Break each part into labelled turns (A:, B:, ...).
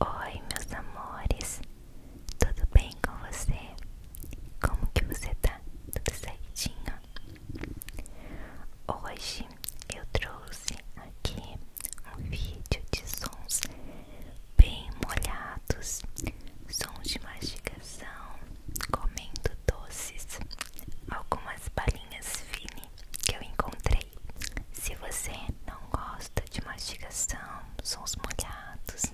A: Oi, meus amores, tudo bem com você? Como que você tá? Tudo certinho? Hoje eu trouxe aqui um vídeo de sons bem molhados, sons de mastigação, comendo doces, algumas balinhas finas que eu encontrei. Se você não gosta de mastigação, sons molhados,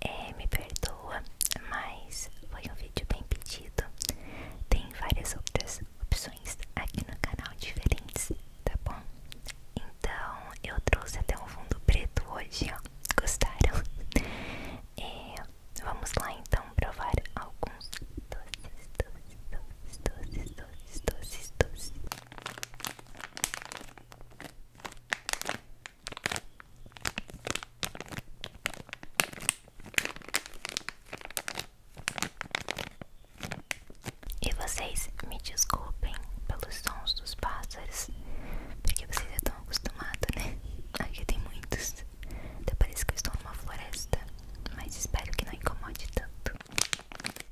A: é, me perdoa, mas foi um vídeo bem pedido. Tem várias outras opções aqui no canal diferentes, tá bom? Então eu trouxe até um fundo preto hoje, ó. Gostaram? É, vamos lá então provar alguns doces, doces, doces, doces, doces. E vocês me desculpem pelos sons dos pássaros, porque vocês estão acostumados, né? Aqui tem muitos. Até parece que eu estou numa floresta, mas espero que não incomode tanto.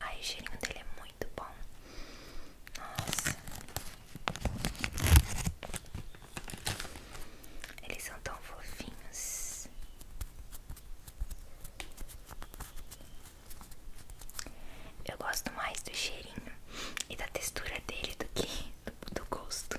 A: Ai, o cheirinho dele é muito bom. Nossa. Eles são tão fofinhos. Eu gosto mais do cheirinho e da textura dele do que do, gosto.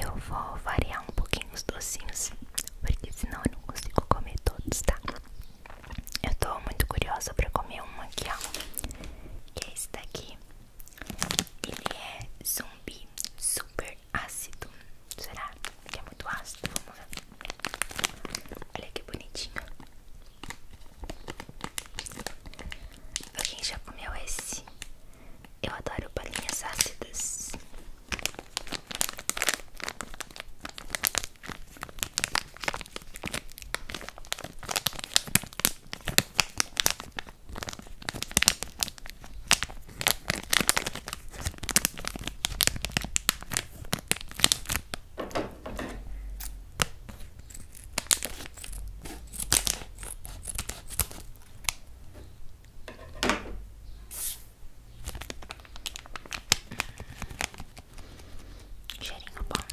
A: Eu vou variar um pouquinho os docinhos, porque senão eu não consigo comer todos, tá? Eu tô muito curiosa pra comer um aqui, ó. e é esse daqui. Ele é zumbi super ácido. Será que é muito ácido? Vamos ver. Olha que bonitinho. Quem já comeu esse? Eu adoro bolinhas ácidas. Cheirinho bom.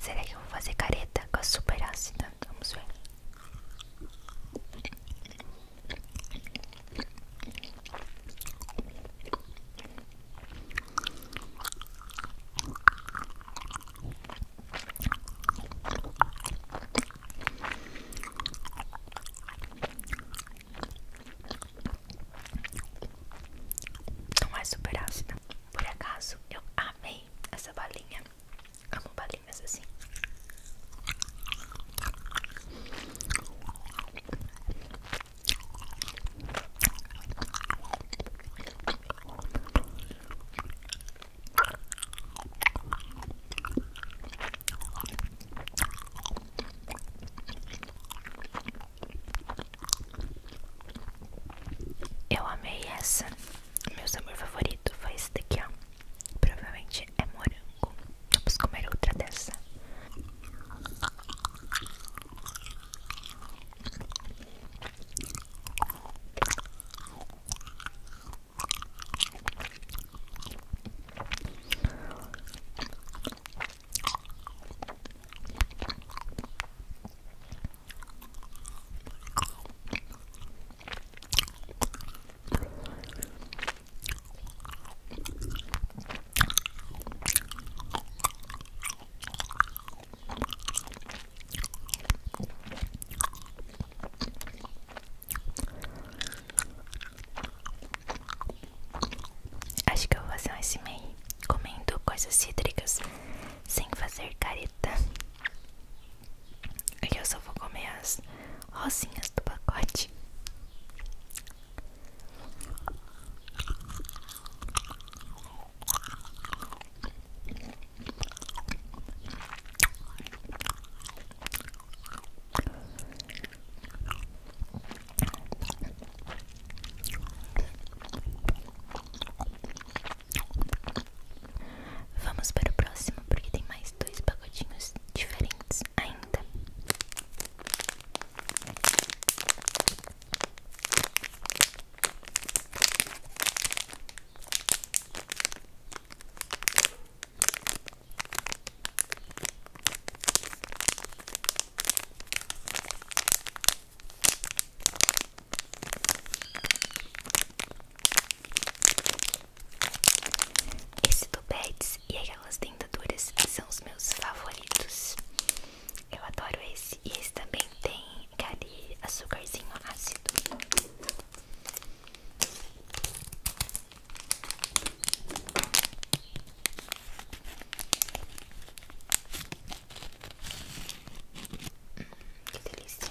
A: Será que eu vou fazer careta com a super ácida? Vamos ver. Não é super ácida. Por acaso eu amei essa balinha. Amo balinha bolinhas assim. Eu amei essa. Meu sabor favorito foi esse daqui, ó. Provavelmente é morango. Vamos comer outra dessa. Acho que eu vou fazer um meio comendo coisas cítricas sem fazer careta. E eu só vou comer as rosinhas do pacote. Vamos para o próximo, porque tem mais dois pagodinhos diferentes ainda. Esse topetes e aquelas dentaduras são os meus favoritos. Eu adoro esse. E esse também tem aquele açúcarzinho ácido. que delícia.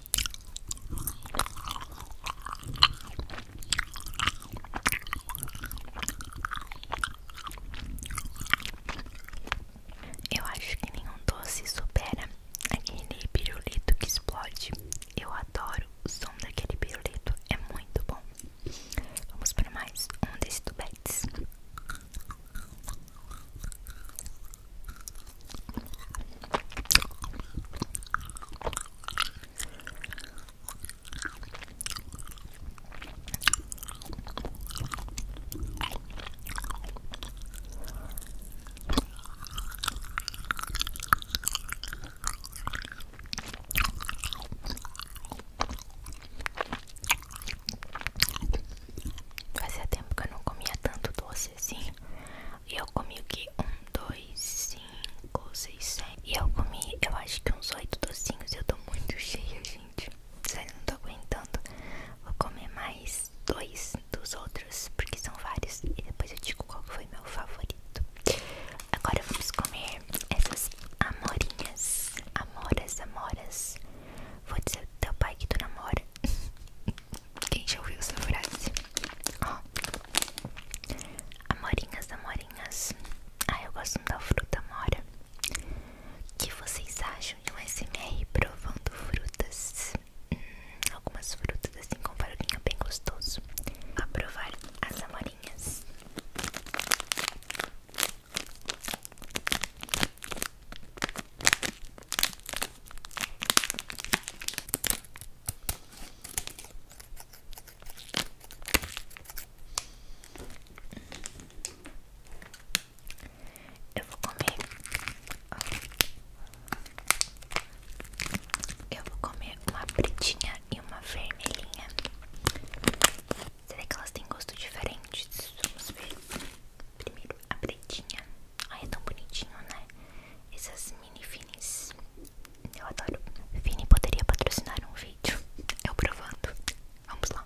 A: Eu acho que nenhum doce supera aquele pirulito que explode. Eu adoro o som daquele pirulito, é muito bom. Vamos para mais um desses tubetes. Fazia tempo que eu não comia tanto doce assim. E eu comi o que? Um, dois, 5, 6, né? E eu comi, eu acho que uns oito docinhos. Eu tô muito cheia, gente. Sério, não tô aguentando. Vou comer mais dois dos outros, porque são vários. E depois eu digo qual foi meu favorito. Agora vamos comer essas amorinhas. Amoras, amoras. Vou dizer pro teu pai que tu namora. Quem já ouviu essa frase? Ó, amorinhas, amorinhas. Ah, eu gosto muito da fruta amora. O que vocês acham de um SMR provando frutas? Hum, algumas frutas assim com farolinho bem gostoso. A provar as amorinhas. Eu vou comer. Eu vou comer uma pretinha e uma vermelhinha. Será que elas têm gosto diferente? Vamos ver. Primeiro a pretinha. Ai, é tão bonitinho, né? Essas mini finis. Eu adoro. Fini poderia patrocinar um vídeo. Eu provando. Vamos lá.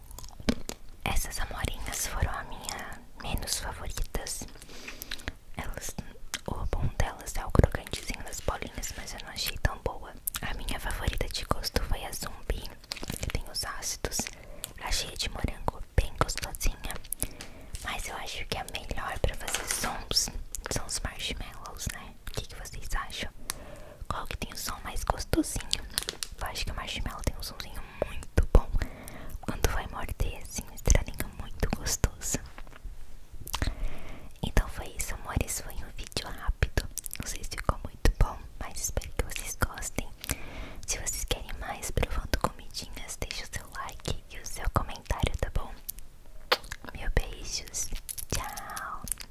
A: Essas amorinhas foram a minha menos favoritas. Elas, o bom delas é o crocantezinho das bolinhas, mas eu não achei tão boa. A minha favorita de gosto foi a zumbi, que tem os ácidos. achei de morango, bem gostosinha. Mas eu acho que a melhor pra fazer sons são os marshmallows, né? O que vocês acham? Qual que tem o som mais gostosinho? Eu acho que o marshmallow tem um somzinho muito bom. Quando vai morder, assim, um estralinho muito gostoso. Então foi isso, amores. Foi um vídeo rápido. Não sei se ficou muito bom, mas espero que vocês gostem. Se vocês querem mais para provando comidinhas, deixa o seu like e o seu comentário, tá bom? Meu beijos. Tchau.